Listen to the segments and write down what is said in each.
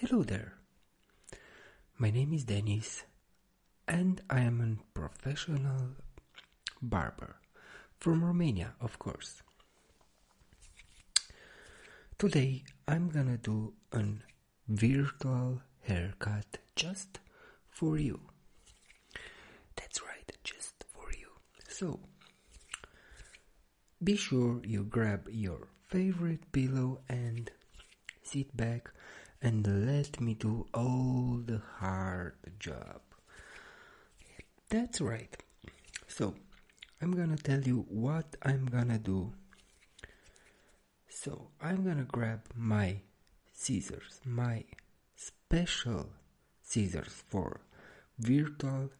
Hello there. My name is Dennis and I am a professional barber from Romania, of course. Today I'm gonna do a virtual haircut just for you. That's right, just for you. So, be sure you grab your favorite pillow and sit back and let me do all the hard job. That's right. So, I'm gonna tell you what I'm gonna do. So, I'm gonna grab my scissors, my special scissors for virtual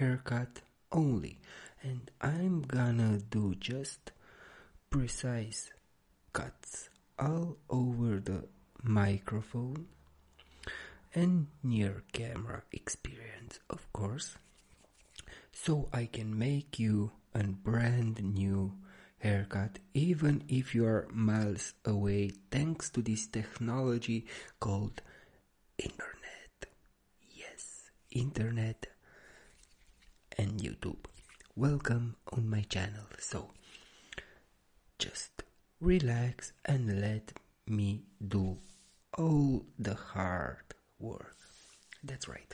haircut only and I'm gonna do just precise cuts all over the microphone and near camera experience of course so I can make you a brand new haircut even if you are miles away thanks to this technology called internet Yes, internet and YouTube. Welcome on my channel. So just relax and let me do all the hard work. That's right.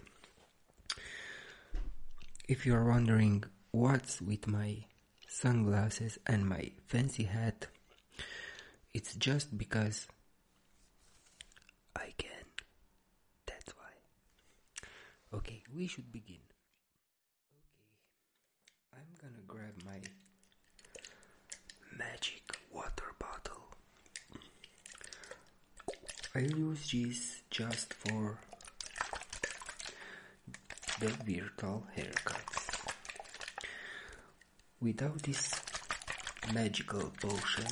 If you're wondering what's with my sunglasses and my fancy hat, it's just because I can. That's why. Okay, we should begin. Okay, I'm gonna grab my magic water bottle. I use this just for the virtual haircuts without this magical potion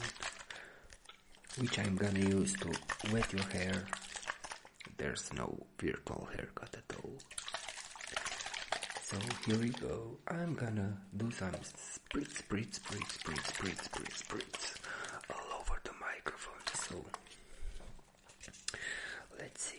which I'm gonna use to wet your hair there's no virtual haircut at all so here we go I'm gonna do some spritz spritz spritz spritz spritz spritz spritz all over the microphone so let's see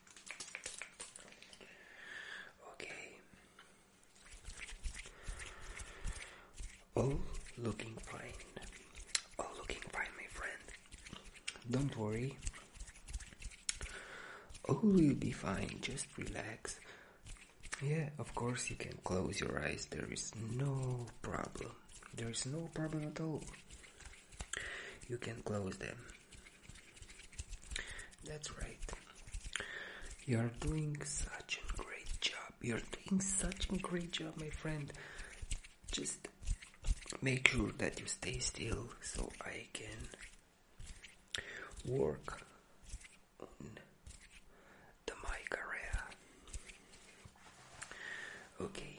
Okay. All oh, looking fine. Oh, looking fine, my friend. Don't worry. All oh, will be fine. Just relax. Yeah, of course you can close your eyes. There is no problem. There is no problem at all. You can close them. That's right. You're doing such a great job. You're doing such a great job, my friend. Just make sure that you stay still so I can work on the mic area. Okay.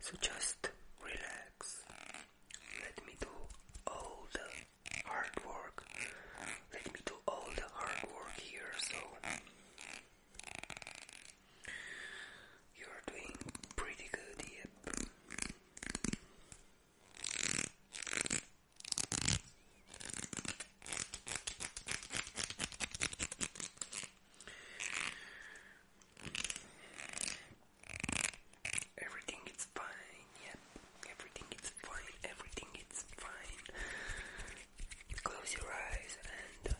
So just relax. Let me do all the hard work. Let me do all the hard work here. So you're doing pretty good. Yep. Everything is fine, yep. Everything is fine, everything is fine. Close your eyes and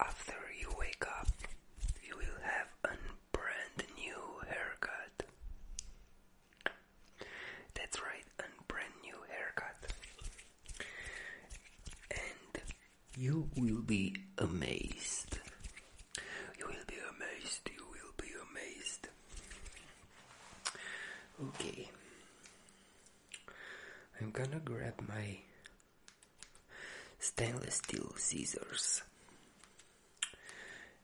uh, after you wake up, you will have an brand new haircut. That's right, a brand new haircut. And you will be amazed. You will be amazed, you will be amazed. Okay. I'm gonna grab my stainless steel scissors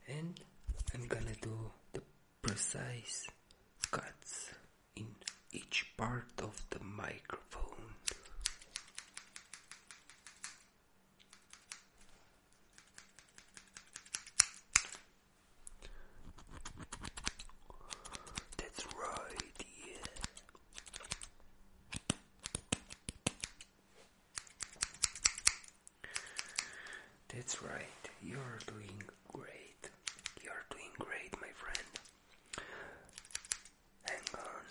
and I'm gonna do the precise cuts in each part of the microphone. That's right, yeah. That's right, you're doing great. You're doing great, my friend. Hang on.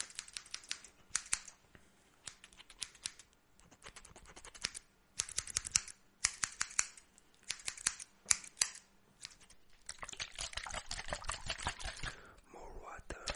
More water.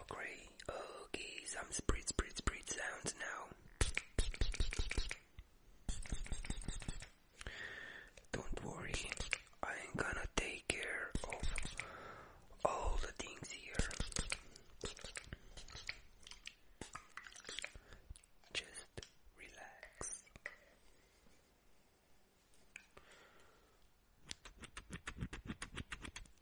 Okay, okay, some spritz, spritz, spritz sounds now. Don't worry, I'm gonna take care of all the things here. Just relax.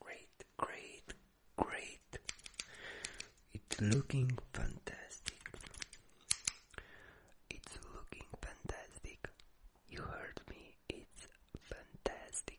Great, great, great. It's looking fantastic. It's looking fantastic. You heard me. It's fantastic.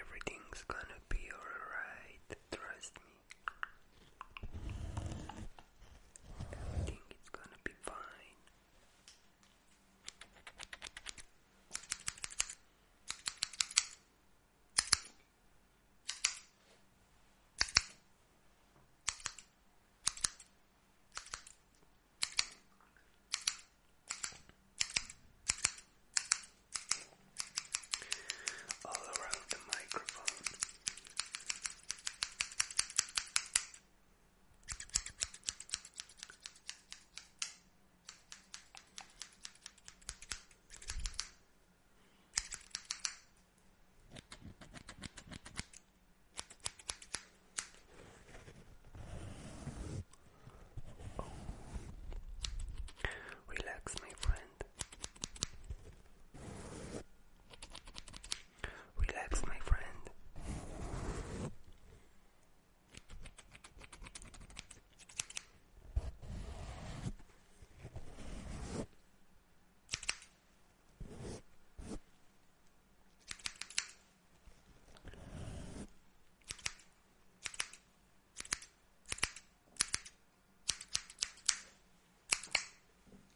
Everything's gonna be alright, trust me. Everything gonna be fine all around the microphone. Relax, my friend. Relax, my friend.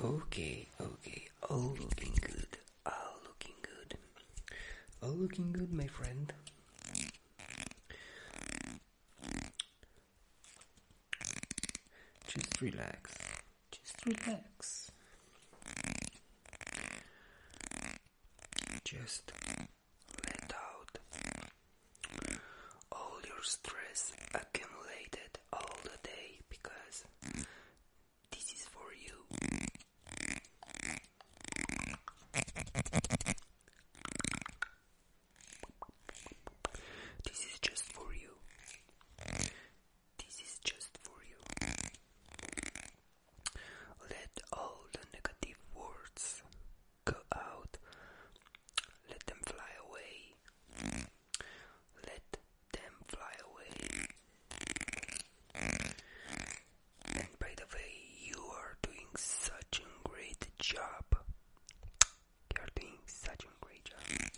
Okay, okay, all looking good, all looking good, all looking good, my friend. Just relax. Just relax. Just let out all your stress accumulated all the day because this is for you. This is just for you. This is just for you. Let all the negative words go out. Let them fly away. Let them fly away. And by the way, you are doing such a great job. You're doing such a great job.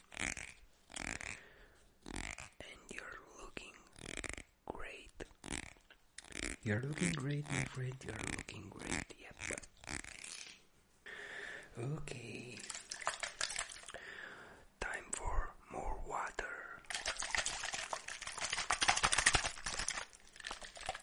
And you're looking great. You're looking great, my friend. You're looking great. Yep. Okay. Time for more water.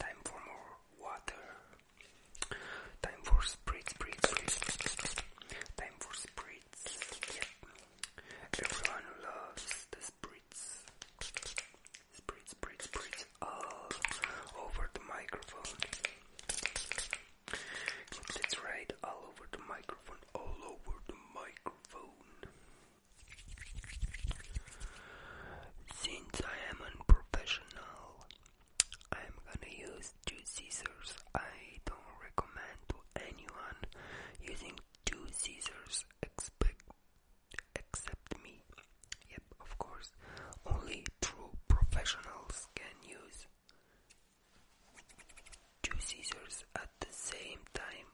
Time for more water. Time for spritz, spritz, spritz. Time for spritz. Yeah. Everyone loves the spritz. Spritz, spritz, spritz all over the microphone. That's right, all over the microphone, all over the microphone. Since I am unprofessional, I'm gonna use two scissors. I don't recommend to anyone using two scissors expect, except me. Yep, of course. Only true professionals can use two scissors at the same time.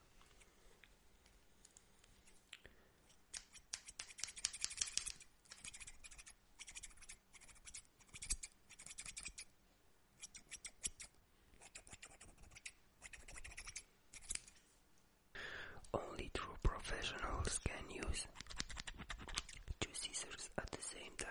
Only true professionals can use two scissors at the same time.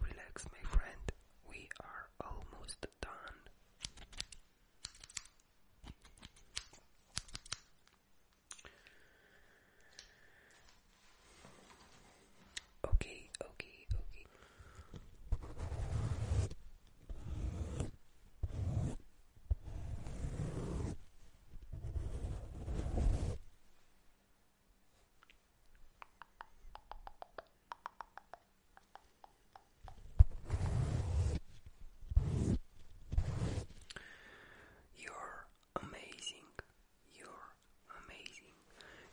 Relax, my friend, we are almost done. Okay, okay, okay. You're amazing. You're amazing.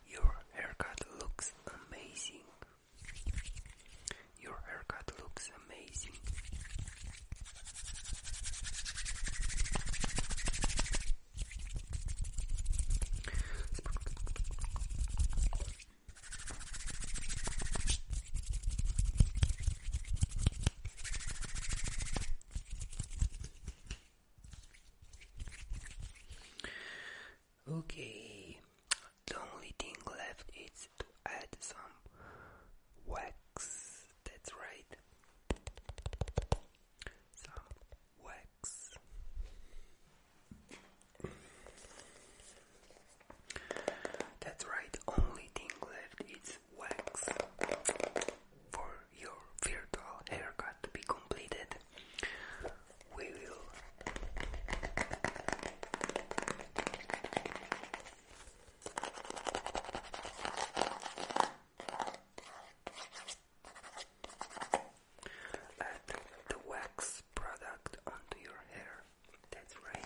Your haircut looks amazing. Your haircut looks amazing. Okay, the only thing left is to add some wax. That's right. Some wax. That's right, only thing left is wax for your virtual haircut to be completed. We will Add the wax product onto your hair. That's right.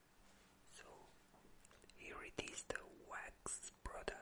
So here it is the wax product.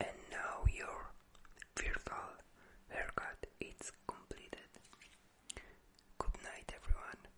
And now your virtual haircut is completed. Good night, everyone.